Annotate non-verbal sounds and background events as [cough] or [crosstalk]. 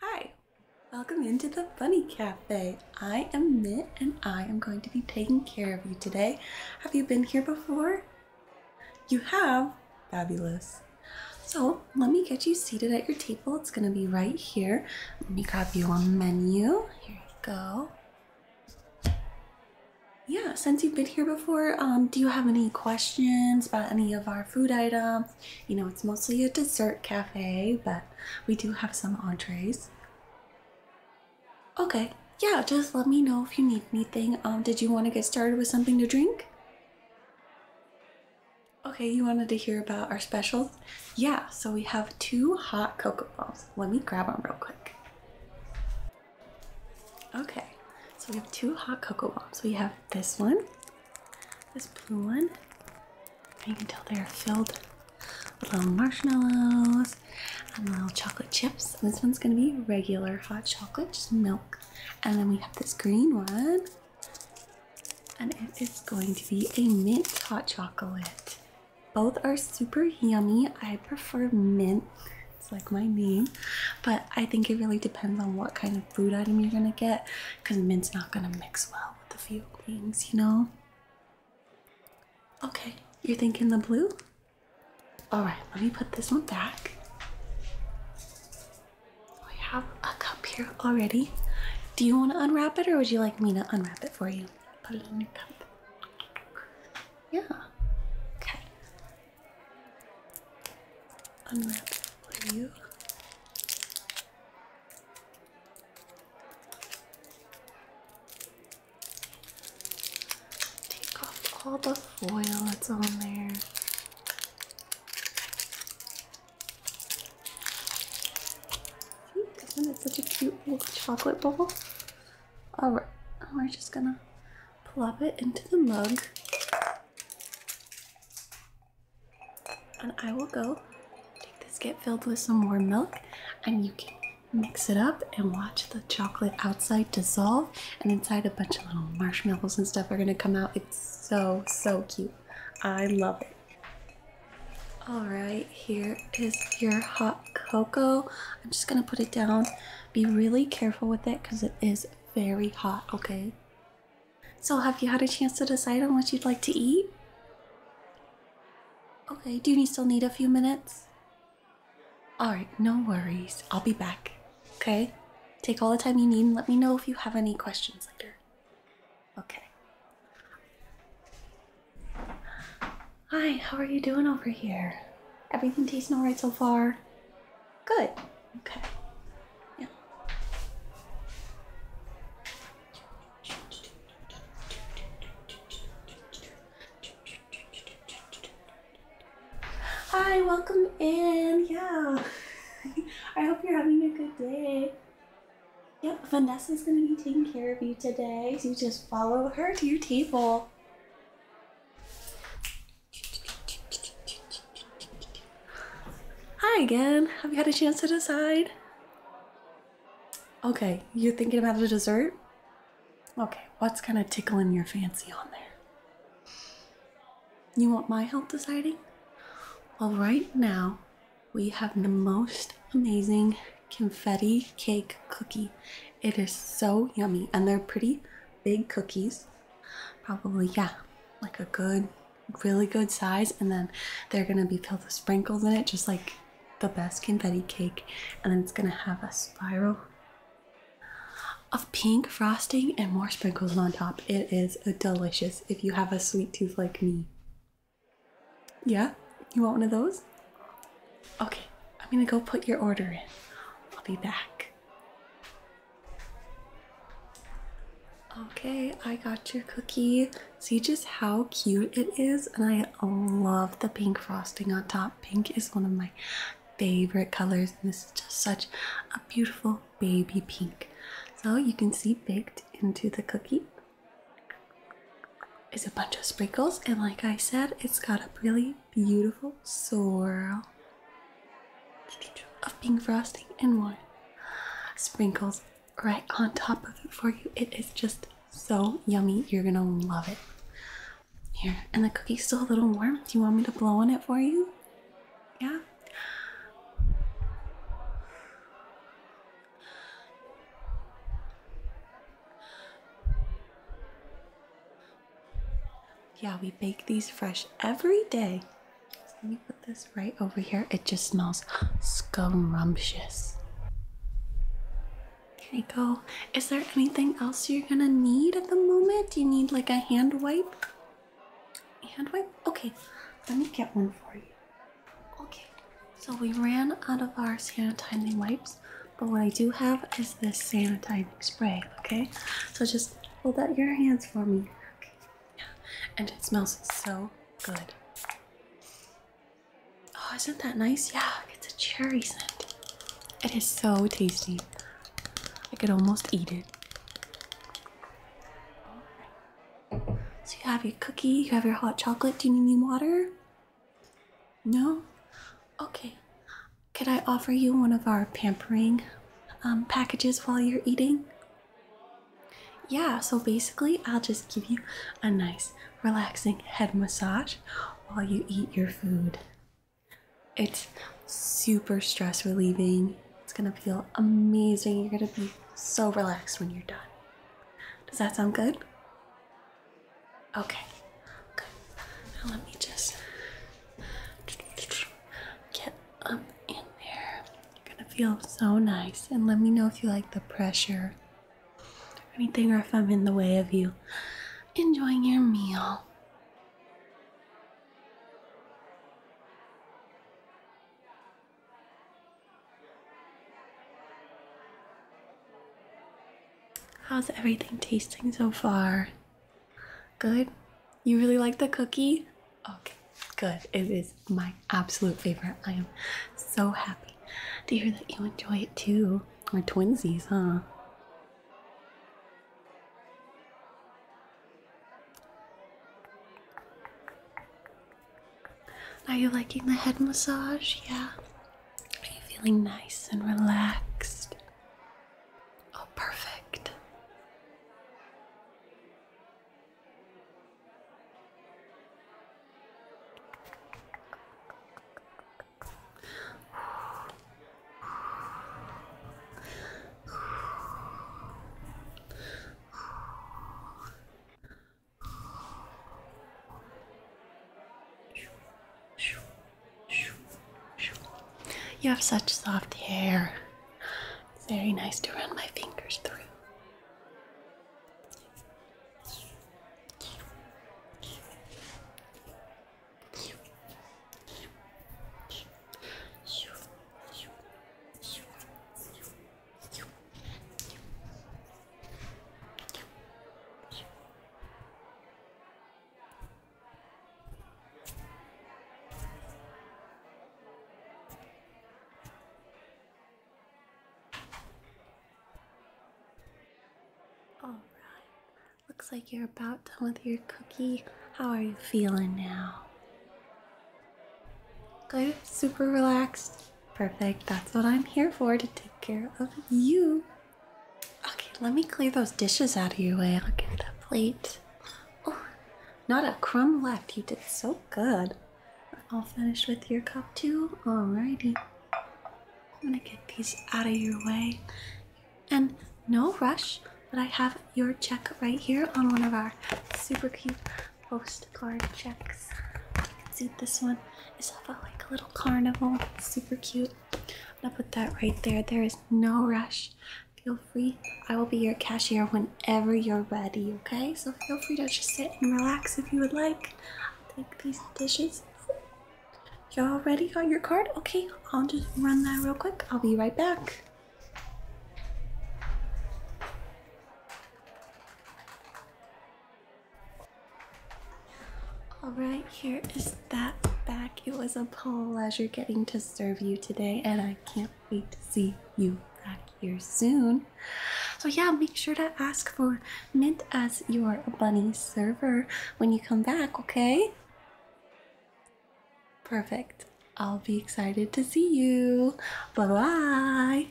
Hi, welcome into the Bunny Cafe. I am Mitt and I am going to be taking care of you today. Have you been here before? You have? Fabulous. So let me get you seated at your table. It's going to be right here. Let me grab you a menu. Here you go. Yeah, since you've been here before, um, do you have any questions about any of our food items? You know, it's mostly a dessert cafe, but we do have some entrees. Okay, yeah, just let me know if you need anything. Um, did you want to get started with something to drink? Okay, you wanted to hear about our specials? Yeah, so we have two hot cocoa balls. Let me grab them real quick. Okay, so we have two hot cocoa balls. We have this one this blue one, you can tell they are filled with little marshmallows and little chocolate chips. this one's gonna be regular hot chocolate, just milk. And then we have this green one, and it is going to be a mint hot chocolate. Both are super yummy. I prefer mint. It's like my name, but I think it really depends on what kind of food item you're gonna get because mint's not gonna mix well with a few things, you know? Okay, you're thinking the blue? Alright, let me put this one back. We have a cup here already. Do you want to unwrap it or would you like me to unwrap it for you? Put it in your cup. Yeah. Okay. Unwrap Take off all the foil that's on there. See, not it such a cute little chocolate ball? Alright, we're just gonna plop it into the mug. And I will go take this, get filled with some more milk, and you can mix it up and watch the chocolate outside dissolve. And inside, a bunch of little marshmallows and stuff are gonna come out. It's so, so cute. I love it. All right, here is your hot cocoa. I'm just gonna put it down. Be really careful with it because it is very hot, okay? So, have you had a chance to decide on what you'd like to eat? Okay, do you still need a few minutes? Alright, no worries. I'll be back. Okay? Take all the time you need and let me know if you have any questions later. Okay. Hi, how are you doing over here? Everything tasting alright so far? Good. Okay. Yeah. Hi, welcome in. Yeah. [laughs] I hope you're having a good day. Yep, Vanessa's gonna be taking care of you today. So you just follow her to your table. Hi again. Have you had a chance to decide? Okay, you're thinking about a dessert? Okay, what's kind of tickling your fancy on there? You want my help deciding? Well, right now, we have the most amazing confetti cake cookie. It is so yummy, and they're pretty big cookies. Probably, yeah, like a good, really good size. And then they're gonna be filled with sprinkles in it, just like the best confetti cake. And then it's gonna have a spiral of pink frosting and more sprinkles on top. It is delicious if you have a sweet tooth like me. Yeah? You want one of those? Okay, I'm gonna go put your order in. I'll be back. Okay, I got your cookie. See just how cute it is? And I love the pink frosting on top. Pink is one of my favorite colors. And this is just such a beautiful baby pink. So you can see baked into the cookie is a bunch of sprinkles. And like I said, it's got a really beautiful swirl of pink frosting and more sprinkles right on top of it for you. It is just so yummy. You're gonna love it. Here, and the cookie's still a little warm. Do you want me to blow on it for you? Yeah. Yeah, we bake these fresh every day. let me put this right over here. It just smells scrumptious. There you go. Is there anything else you're gonna need at the moment? Do you need like a hand wipe? Hand wipe? Okay, let me get one for you. Okay, so we ran out of our sanitizing wipes. But what I do have is this sanitizing spray, okay? So just hold out your hands for me. Okay. And it smells so good. Oh, isn't that nice? Yeah, it's a cherry scent. It is so tasty. I could almost eat it. So you have your cookie, you have your hot chocolate. Do you need any water? No? Okay. Could I offer you one of our pampering um, packages while you're eating? Yeah, so basically, I'll just give you a nice, relaxing head massage while you eat your food. It's super stress relieving. It's gonna feel amazing. You're gonna be so relaxed when you're done. Does that sound good? Okay, good. Now let me just get up in there. You're gonna feel so nice. And let me know if you like the pressure anything or if I'm in the way of you enjoying your meal. How's everything tasting so far? Good? You really like the cookie? Okay, good. It is my absolute favorite. I am so happy to hear that you enjoy it too. We're twinsies, huh? Are you liking the head massage? Yeah. Are you feeling nice and relaxed? Oh, perfect. You have such soft hair. very nice to run my fingers through. All right. Looks like you're about done with your cookie. How are you feeling now? Good? Super relaxed? Perfect. That's what I'm here for to take care of you. Okay, let me clear those dishes out of your way. I'll get that plate. Oh, not a crumb left. You did so good. I'll finish with your cup too. Alrighty. I'm gonna get these out of your way. And no rush, but I have your check right here on one of our super cute postcard checks. You can see this one is of a like little carnival. super cute. i gonna put that right there. There is no rush. Feel free. I will be your cashier whenever you're ready, okay? So feel free to just sit and relax if you would like. take these dishes. Y'all ready? Got your card? Okay, I'll just run that real quick. I'll be right back. Alright, here is that back. It was a pleasure getting to serve you today, and I can't wait to see you back here soon. So, yeah, make sure to ask for Mint as your bunny server when you come back, okay? Perfect. I'll be excited to see you. Bye bye.